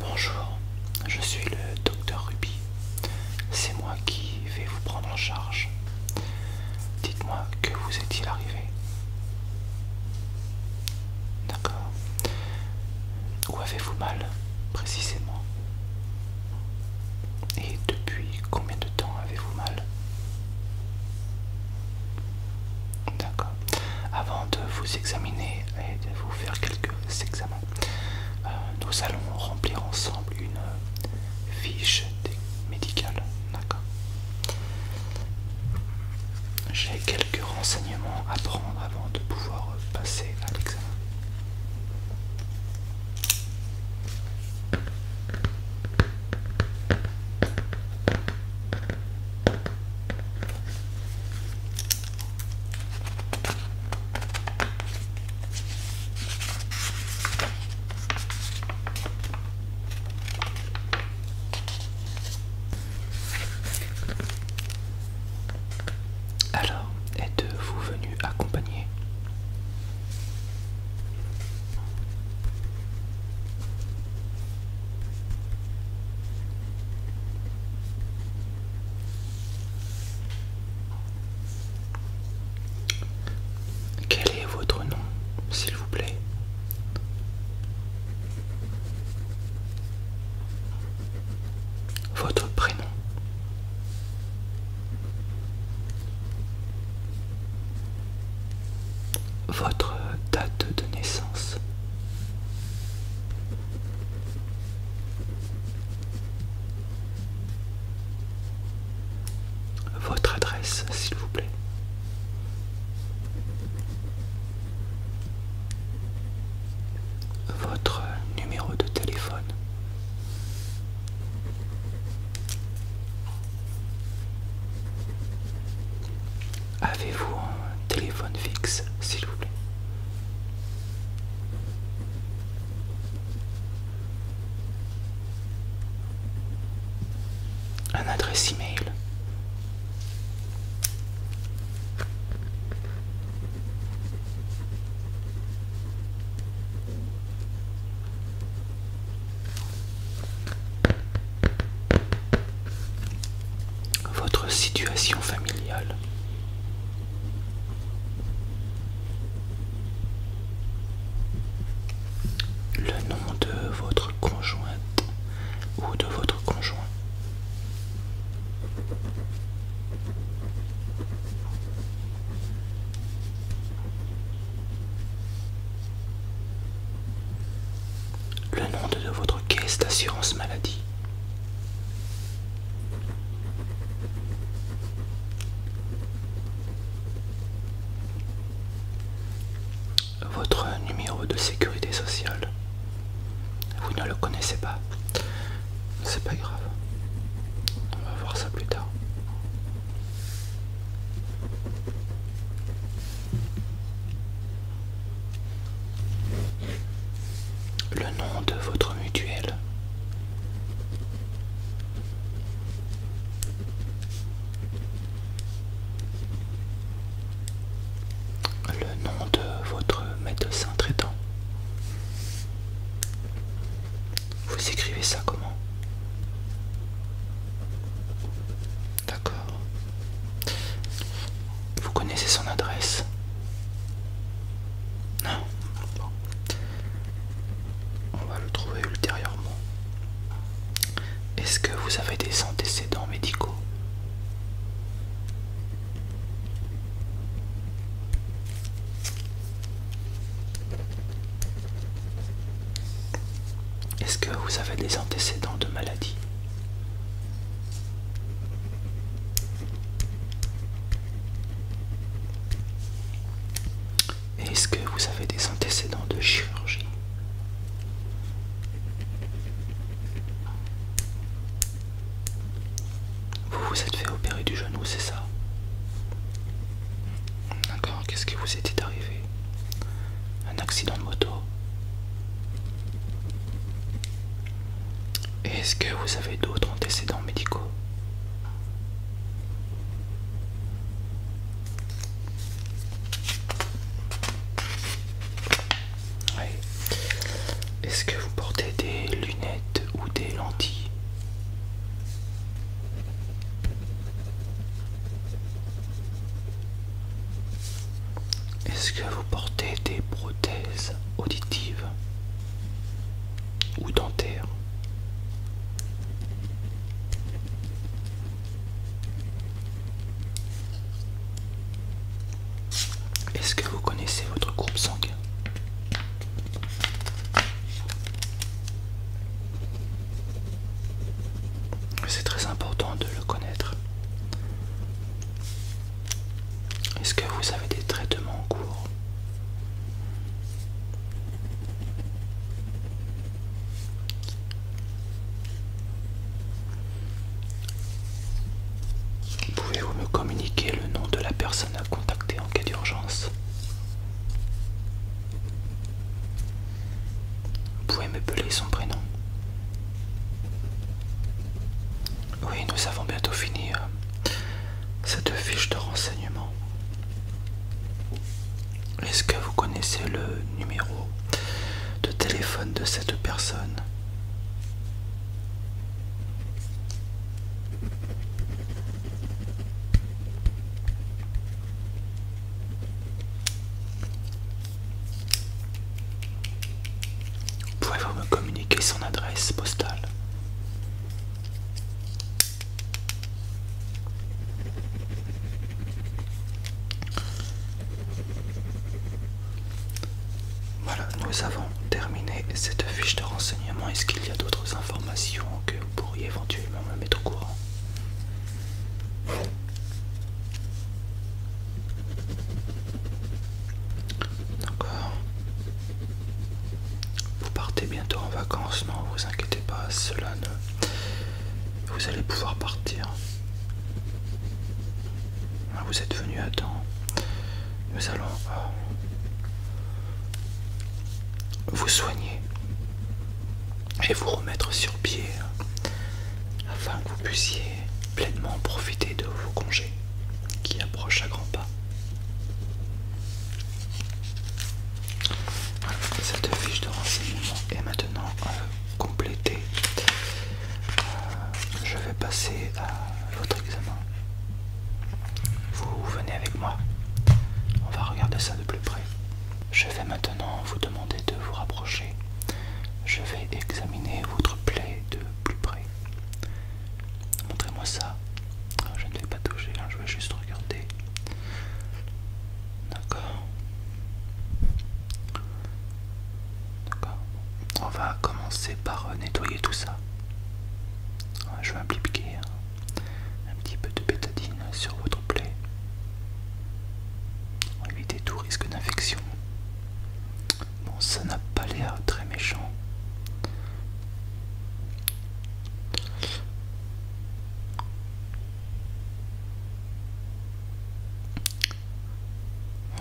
Bonjour, je suis le docteur Ruby. C'est moi qui vais vous prendre en charge. Dites-moi que vous est-il arrivé D'accord. Où avez-vous mal précisément Et depuis combien de temps avez-vous mal D'accord. Avant de vous examiner et de vous faire quelques examens, euh, nous allons remplir ensemble une fiche médicale. D'accord J'ai quelques renseignements à prendre avant de pouvoir passer à l'examen. Alors, êtes-vous venu accompagner quel est votre nom, s'il vous plaît Votre prénom votre date de naissance votre adresse, s'il vous plaît. Votre numéro de téléphone. Avez-vous un téléphone fixe, s'il vous plaît un adresse email. Votre situation familiale. Le nom de votre conjointe ou de votre conjoint. Le nom de votre caisse d'assurance maladie. Votre numéro de sécurité sociale, vous ne le connaissez pas. C'est pas grave. On va voir ça plus tard. Le nom de votre mutuelle. Le nom de votre médecin traitant. Vous écrivez ça comment D'accord. Vous connaissez son adresse Non. Hein On va le trouver ultérieurement. Est-ce que vous avez des antécédents médicaux Est-ce que vous avez des antécédents de maladie est-ce que vous avez des antécédents de chirurgie Vous vous êtes fait opérer du genou, c'est ça D'accord, qu'est-ce qui vous était arrivé Un accident de moto est-ce que vous avez d'autres antécédents médicaux Est-ce que vous portez des lunettes ou des lentilles est-ce que vous portez des prothèses auditives ou dentaire. Est-ce que vous connaissez votre groupe sanguin C'est très important de le connaître. Est-ce que vous avez des traitements en cours Pouvez-vous me communiquer le nom de la personne à contacter en cas d'urgence Vous pouvez m'appeler son prénom oui, nous avons bientôt fini euh, cette fiche de renseignement. Est-ce que vous connaissez le numéro de téléphone de cette personne Pouvez-vous me communiquer son adresse postale Voilà, nous avons terminé cette fiche de renseignement. Est-ce qu'il y a d'autres informations que vous pourriez éventuellement me mettre au courant D'accord. Vous partez bientôt en vacances, non, vous inquiétez pas, cela ne... Vous allez pouvoir partir. Ah, vous êtes venu à temps. Nous allons euh, vous soigner et vous remettre sur pied afin que vous puissiez pleinement profiter de vos congés qui approchent à grands pas cette fiche de renseignement est maintenant euh, complétée. Euh, je vais passer à votre examen. Vous venez avec moi. On va regarder ça de plus près. Je vais maintenant vous demander de vous rapprocher. Je vais examiner votre plaie de plus près. Montrez-moi ça. Ah, je ne vais pas toucher, hein, je vais juste regarder. D'accord. D'accord. On va commencer par euh, nettoyer tout ça. Ah, je vais appliquer hein, un petit peu de pétadine sur votre plaie. éviter tout risque d'infection. Bon, ça n'a pas l'air très méchant.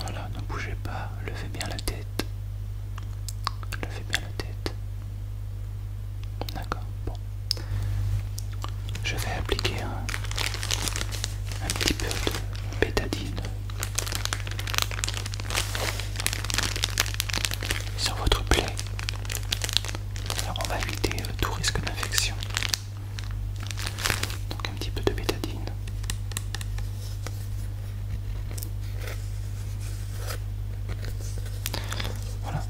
Voilà, ne bougez pas, levez bien la tête. Levez bien la tête. D'accord, bon. Je vais appliquer un, un petit peu de bétadine sur votre plaie. on va éviter euh, tout risque d'infection. Donc un petit peu de bétadine. Voilà.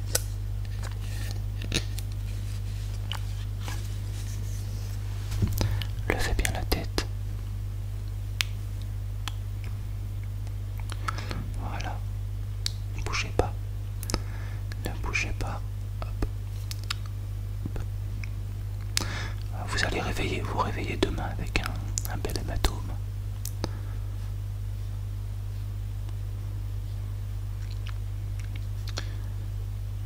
Levez bien la tête. Voilà. Ne bougez pas. Ne bougez pas. Vous allez réveiller, vous réveiller demain avec un, bel hématome.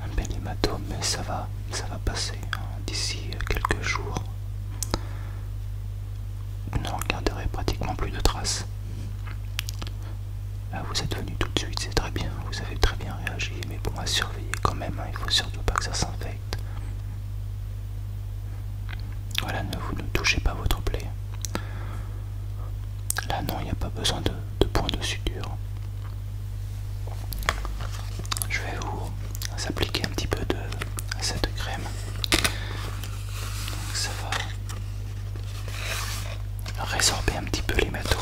Un bel hématome, mais ça va, ça va passer hein, d'ici quelques jours. Vous ne regarderez pratiquement plus de traces. Ah, vous êtes venu tout de suite, c'est très bien, vous avez très bien réagi, mais bon, à surveiller quand même, hein. il faut surtout pas que ça s'infecte. Voilà, ne vous ne touchez pas votre plaie. Là, non, il n'y a pas besoin de, de points de suture. Je vais vous s'appliquer un petit peu de cette crème. ça va résorber un petit peu l'hématome.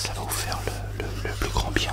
Ça va vous faire le plus grand bien.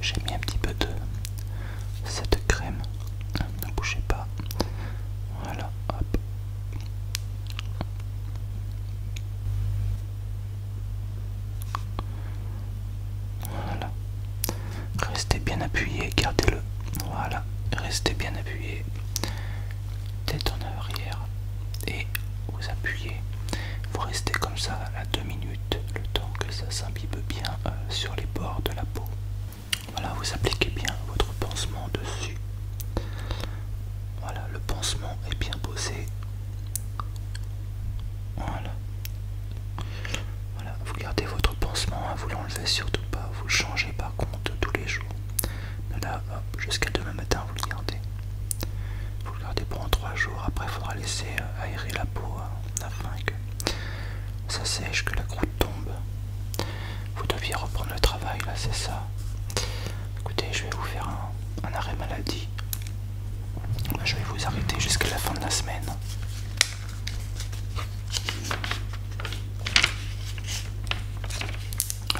J'ai mis un petit peu de cette crème. Ne bougez pas. Voilà, hop. Voilà. Restez bien appuyé, gardez-le. Voilà, restez bien appuyé tête en arrière et vous appuyez. Vous restez comme ça à deux minutes, le temps que ça s'imbibe bien euh, sur les bords de la peau. Voilà, vous appliquez bien votre pansement dessus. Voilà, le pansement est bien posé. Voilà. Voilà, vous gardez votre pansement, hein, vous l'enlevez surtout pas, vous changez par contre tous les jours là, jusqu'à demain matin, vous le gardez. Vous le gardez pendant 3 jours. Après, il faudra laisser euh, aérer la peau hein, afin que ça sèche, que la croûte tombe. Vous deviez reprendre le travail, là, c'est ça. Écoutez, je vais vous faire un arrêt maladie. Je vais vous arrêter jusqu'à la fin de la semaine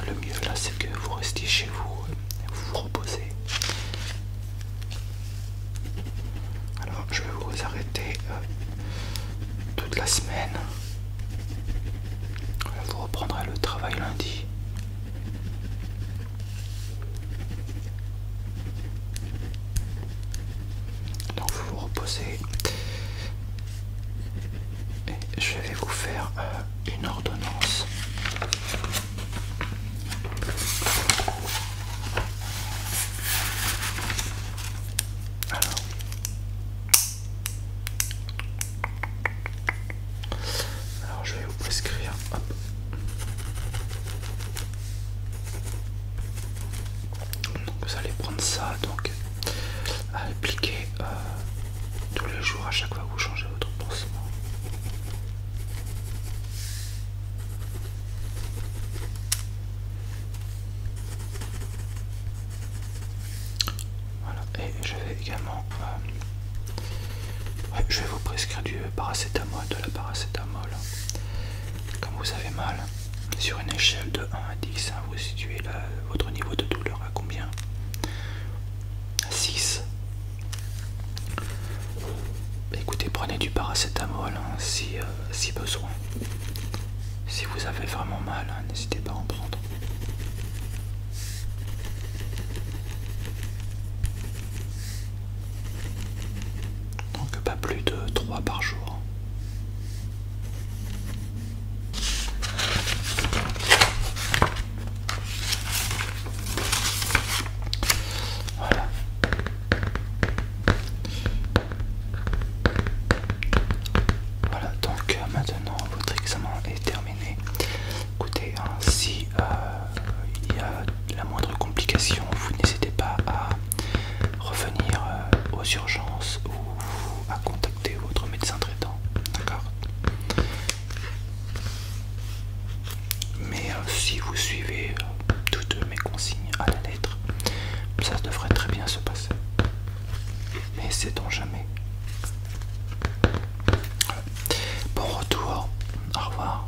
le mieux là c'est que vous restiez chez vous, euh, vous vous reposez. Alors je vais vous arrêter euh, toute la semaine. Vous reprendrez le travail lundi. Donc vous vous reposez et je vais vous faire euh, une ordonnance. Alors. je vais vous prescrire. vous allez prendre ça, donc à appliquer euh, tous les jours à chaque fois que vous changez votre pansement. et je vais également euh, je vais vous prescrire du paracétamol, de la paracétamol. Comme vous avez mal, sur une échelle de 1 à 10, ah situer votre niveau de douleur à combien 6 écoutez prenez du paracétamol hein, si, euh, si besoin si vous avez vraiment mal hein, n'hésitez pas à en prendre donc pas plus de 3 par jour voilà. Voilà, donc euh, maintenant votre examen est terminé. Écoutez, hein, si euh, il y a la moindre complication, vous n'hésitez pas à revenir euh, aux urgences ou à contacter votre médecin traitant. D'accord Mais euh, si vous suivez euh, toutes mes consignes à la lettre, ça devrait très bien se passer. Mais c'est dans jamais Bon retour, au revoir.